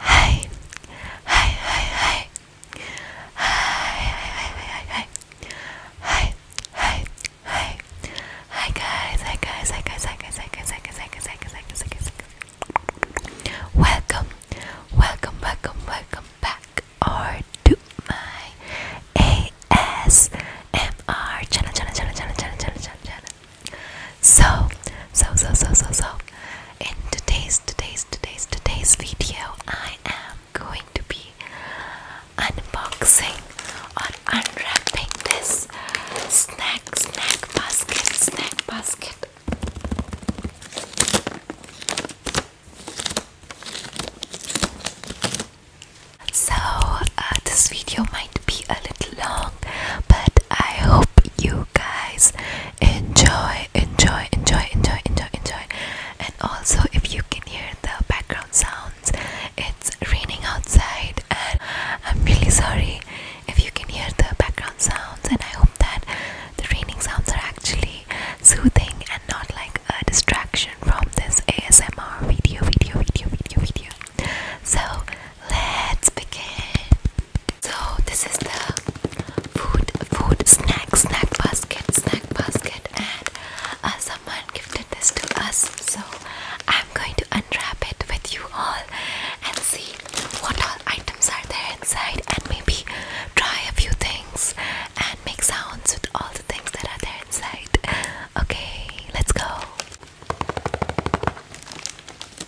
Hey, hey, hey, hey. Hi, hi, hi, hi, hi, hi, hi, hi, guys, hi, guys, hi, guys, hi, guys, hi, guys, hi, guys, hi, guys, hi, guys, hi, guys, hi, guys, Welcome, welcome, welcome, welcome back, or to my ASMR channel, channel, channel, channel, channel, channel, channel, channel. So, so, so, so, so, so, in today's, today's, today's, today's video, I am going to be unboxing or unwrapping this snack, snack basket, snack basket. So, uh, this video might be a little long, but I hope you guys enjoy, enjoy, enjoy, enjoy, enjoy, enjoy. And also, if you can hear the background sounds, it's raining outside, and I'm really sorry if you can hear the background sounds. And I hope that the raining sounds are actually soothing and not like a distraction from this ASMR video, video, video, video, video. So let's begin. So this is the food, food, snack, snack basket, snack basket, and uh, someone gifted this to us. So I'm going to unwrap it with you all and see what all items are there inside, and maybe try a few things and make sounds with all the things that are there inside. Okay, let's go.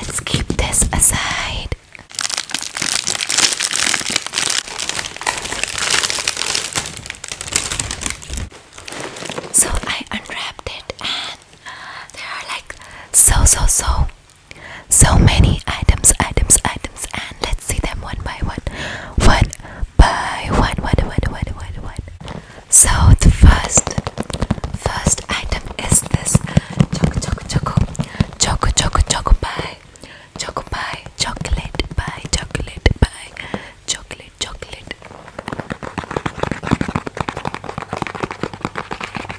Let's keep this aside. So I unwrapped it, and uh, there are like so so so so many items, items, items, and let's see them one by one. One by one, one, one, one, one, one. So the first, first item is this choco, choco, choco, choco, choco, choco pie, choco pie, chocolate pie, chocolate pie, chocolate, chocolate.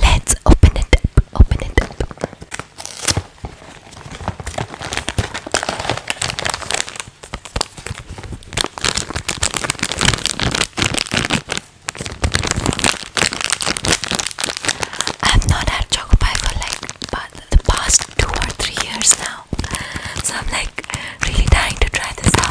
Let's open it up. Open it up. I've not had choco pie for like but the past two or three years now. So I'm like really dying to try this out.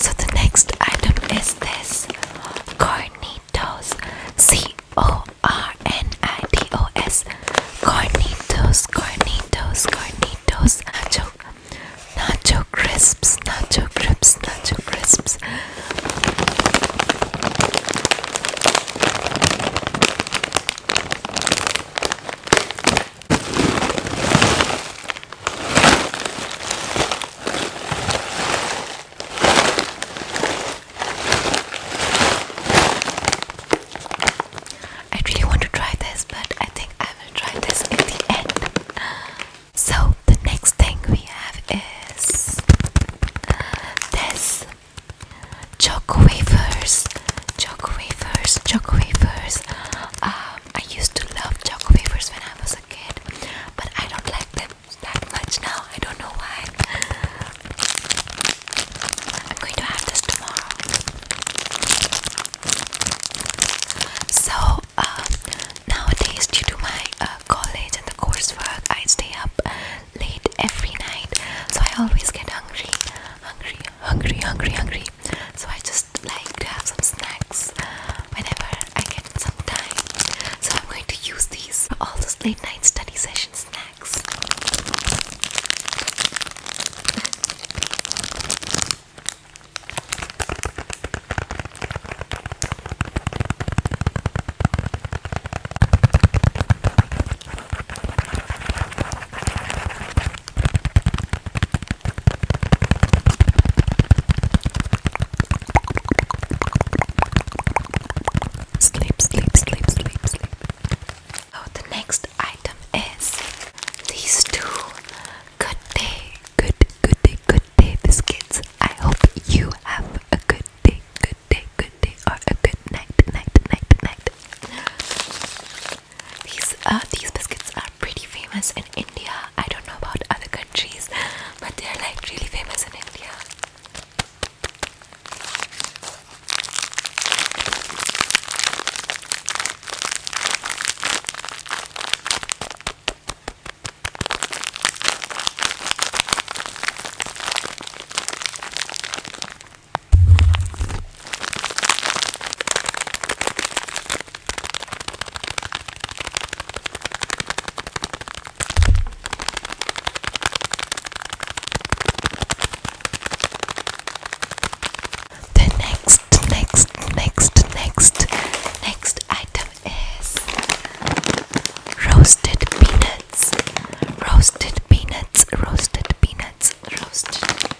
So the next item is this Cornitos C O R N I T O S Cornitos Cornitos Cornitos Nacho Nacho crisps Nacho crisps Nacho crisps I really want to try this, but I think I will try this in the end. So, the next thing we have is this choco wafers, choco wafers, choco wafers. Um, I used to love choco wafers when I was a kid, but I don't like them that much now. I don't know why. I'm going to have this tomorrow. So um, nowadays, due to my uh, college and the coursework, I stay up late every night, so I always get hungry, hungry, hungry, hungry, hungry. So I just like to have some snacks whenever I get some time. So I'm going to use these for all those late night study session snacks. Sleep, sleep, sleep, sleep, sleep. So oh, the next item is these two good day, good, good day, good day biscuits. I hope you have a good day good day, good day, or a good night, night, night, night. These uh, these biscuits are pretty famous in India. I don't know about other countries, but they're like really famous in India. The next, next, next, next, next item is roasted peanuts, roasted peanuts, roasted peanuts, roasted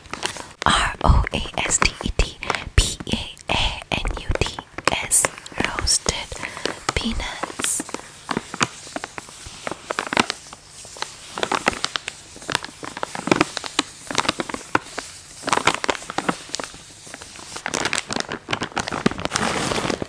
R O A S T E D P A A N U T S, roasted peanuts.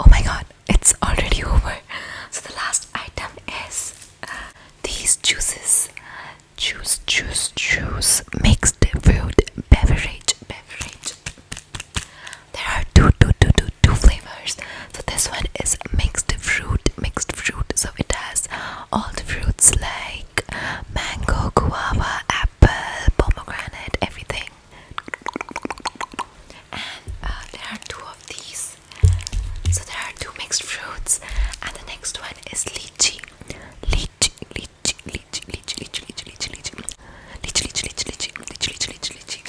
Oh my god, it's already over. So the last item is uh, these juices. Juice, juice, juice, mixed fruit beverage, beverage. There are two, two, two, two, two flavors. So this one is mixed fruit, mixed fruit. So it has all the fruits like mango, guava, apple, pomegranate, everything thing. And uh, there are two of these. So there are two mixed fruits, and the next one is lychee. Lychee, lychee, lychee, lychee, lychee, lychee, lychee, lychee, lychee, lychee, lychee, lychee, lychee, lychee, lychee.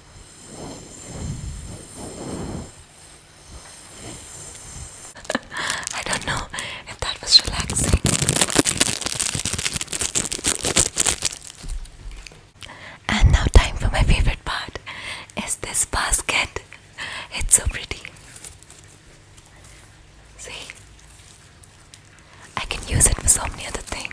I don't know if that was relaxing. And now, time for my favorite part is this basket. It's so pretty. See? I can use it for so many other things.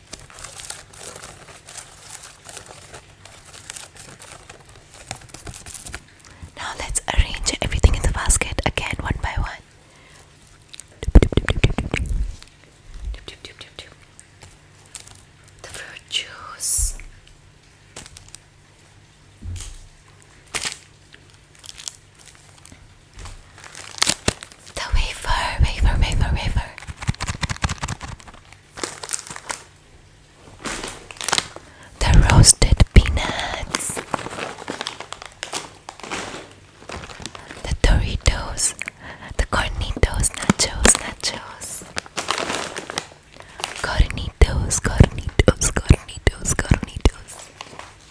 Now let's arrange everything in the basket again one by one. The fruit juice. The wafer, wafer, wafer, wafer. The roasted peanuts. The Doritos. The Cornitos, nachos, nachos. Cornitos, Cornitos, Cornitos, Cornitos.